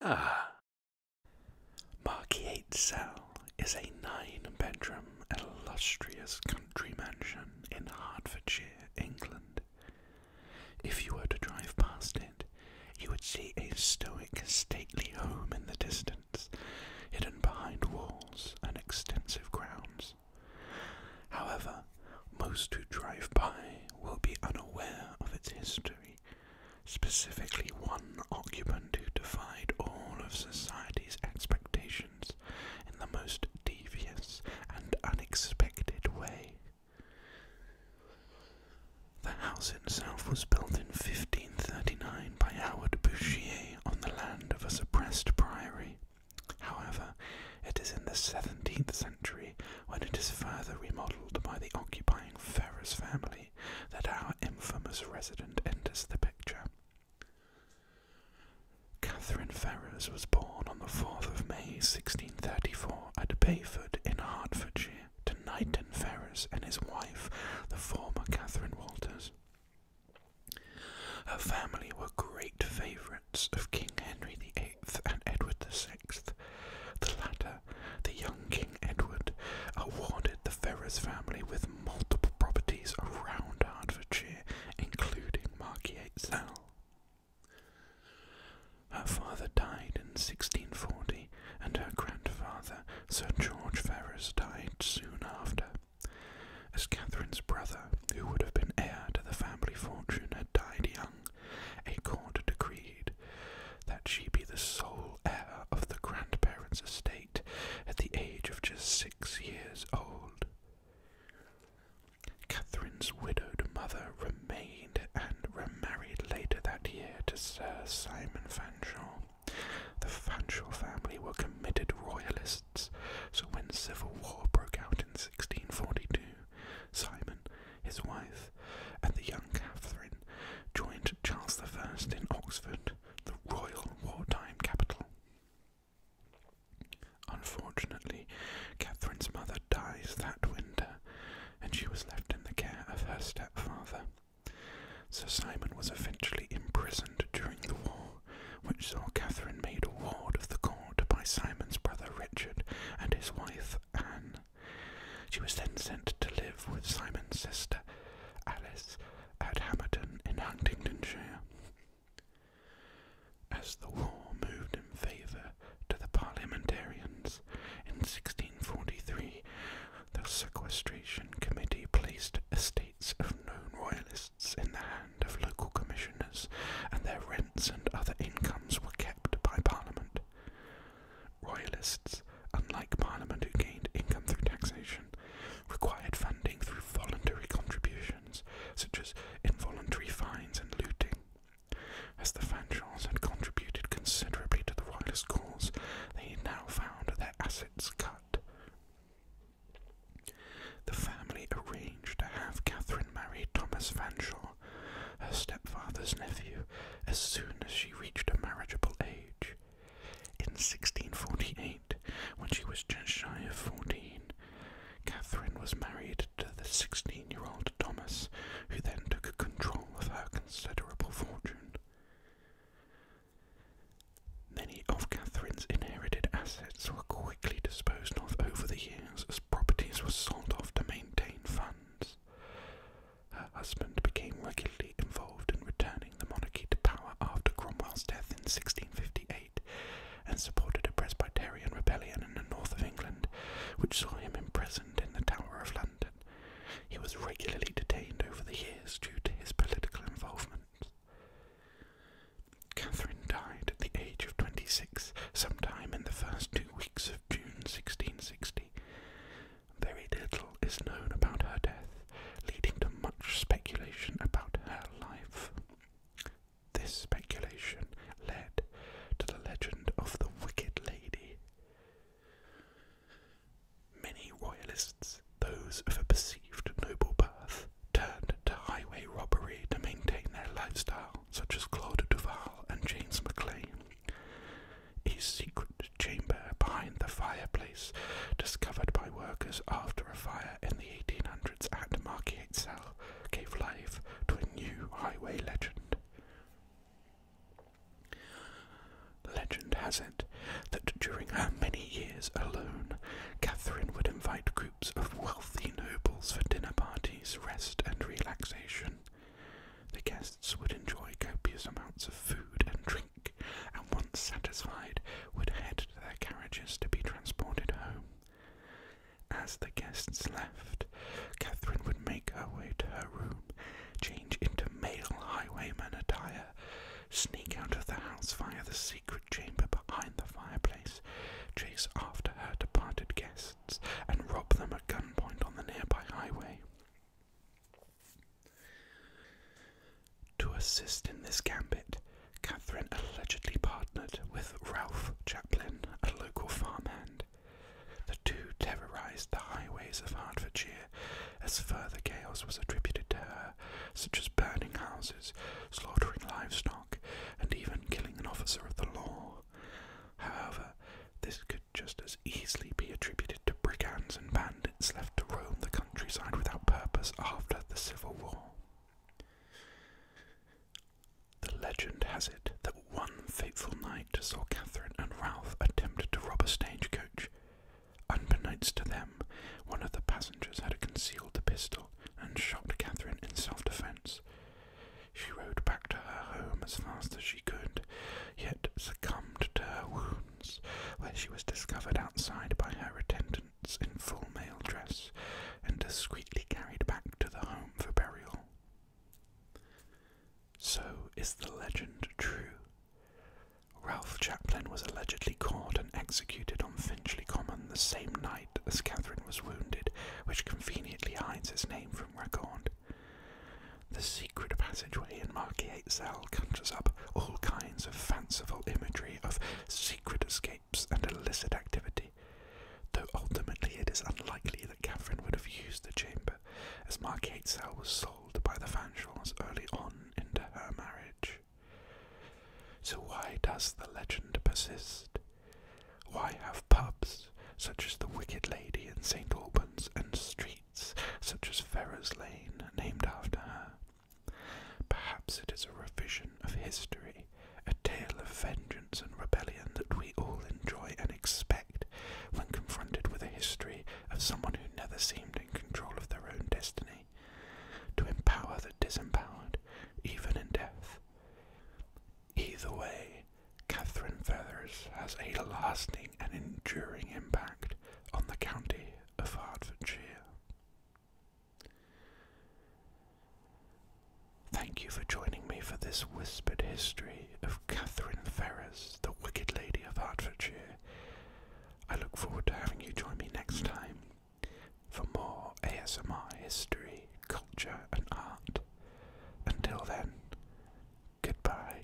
Ah. Marquis Cell is a nine bedroom, illustrious country mansion in Hertfordshire, England. If you were to drive past it, you would see a stoic, stately home in the distance, hidden behind walls and extensive grounds. However, most who drive by will be unaware of its history, specifically one occupant who defied all of society's expectations in the most devious and unexpected way. The house itself was built in 1539 by Howard Bouchier on the land of a suppressed priory. However, it is in the 17th century, when it is further remodeled by the occupying Ferrers family, that our infamous resident enters the picture. Catherine Ferrers was born on the 4th of May 1634 at Bayford in Hertfordshire to Knighton Ferrers and his wife, the former Catherine Walters. Her family were great favourites of King Henry VIII and Edward VI. The latter, the young King Edward, awarded the Ferrers family with multiple properties around Hertfordshire, including Margate Her father died in 1640, and her grandfather, Sir George Ferrers, died soon after. As Catherine's brother, who would have been heir to the family fortune, had died young, a court decreed that she be the sole heir of the grandparents' estate at the age of just six years old. Catherine's widowed mother remained and remarried later that year to Sir Simon Fanshawe. The Fanshawe family were committed royalists, so when civil war broke out in 1642, Simon, his wife, and the young Catherine joined Charles I in Oxford, the royal wartime capital. Unfortunately, Catherine's mother dies that winter, and she was left in the care of her stepfather, Sir Simon was eventually imprisoned during the war, which saw Catherine made a ward of the court by Simon's brother Richard and his wife Anne. She was then sent to live with Simon's sister Alice at Hamerton in Huntingdonshire. As the war moved in favour to the parliamentarians in 1643, the sequestration committee placed estates of known royalists in the hand of local commissioners, and their rents and other incomes were kept by Parliament. Royalists, unlike Parliament who gained income through taxation, required funding through voluntary contributions, such as involuntary fines and looting. As the Fanchons had contributed considerably to the royalist cause, they now found their assets cut. The family arranged to have Catherine marry Thomas Fanshawe, her stepfather's nephew, as soon as she reached a marriageable age. In 1648, when she was just shy of fourteen, Catherine was married to the 16 year old Thomas, who then took control of her considerable fortune. Many of Catherine's inherited assets were quickly disposed of over the years as properties were sold off to maintain funds. Her husband became regularly involved in returning the monarchy to power after Cromwell's death in 1658 and supported a Presbyterian rebellion in the north of England, which saw him imprisoned in the Tower of London. He was regularly detained over the years due to his political involvement. Catherine died at the age of 26 sometime in the first two weeks of June 1660. Very little is known about her death, leading to much speculation about her life. This speculation led to the legend of the Wicked Lady, Many royalists, those of a perceived noble birth, turned to highway robbery to maintain their lifestyle, such as Claude Duval and James Maclean. A secret chamber behind the fireplace, discovered by workers after a fire in the 1800s at Margate Cell, gave life to a new highway legend. Legend has it that during her many years alone, Catherine would invite groups of wealthy nobles for dinner parties, rest, and relaxation. The guests would enjoy copious amounts of food and drink, and once satisfied, would head to their carriages to be transported home. As the guests left, Catherine would make her way to her room, change into male highwayman attire, sneak out of the house via the secret chamber behind the fireplace, chase after her departed guests, and rob them at gunpoint on the nearby highway. To assist in this gambit, Catherine allegedly partnered with Ralph Chaplin, a local farmhand. The two terrorised the highways of Hertfordshire as further chaos was attributed to her, such as burning houses, slaughtering livestock, and even killing an officer of the law. However, this could just as easily be attributed to brigands and bandits left to roam the countryside without purpose after the Civil War. The legend has it that one fateful night saw Catherine and Ralph attempt to rob a stagecoach. Unbeknownst to them, one of the passengers had concealed the pistol and shot Catherine in self defence. She rode back to her home as fast as she could, yet succumbed to her wounds, where she was discovered outside by her attendant in full male dress and discreetly carried back to the home for burial. So is the legend true. Ralph Chaplin was allegedly caught and executed on Finchley Common the same night as Catherine was wounded, which conveniently hides his name from record. The secret passageway in Marquis 8's cell conjures up all kinds of fanciful imagery of secret escapes, and illicit activity, though ultimately it is unlikely that Catherine would have used the chamber, as Margate Cell was sold by the Fanshaws early on into her marriage. So why does the legend persist? Why have pubs such as the Wicked Lady in St Albans and streets such as Ferrers Lane named after her? Perhaps it is a revision of history, a tale of vengeance and rebellion that we all enjoy and expect when confronted with a history of someone who never seemed in control of their own destiny, to empower the disempowered, even in death. Either way, Catherine Feathers has a lasting and enduring impact on the county of Hertfordshire. Thank you for joining me for this whispered history of Catherine Ferrers, the Wicked Lady of Hertfordshire. I look forward to having you join me next time for more ASMR history, culture, and art. Until then, goodbye.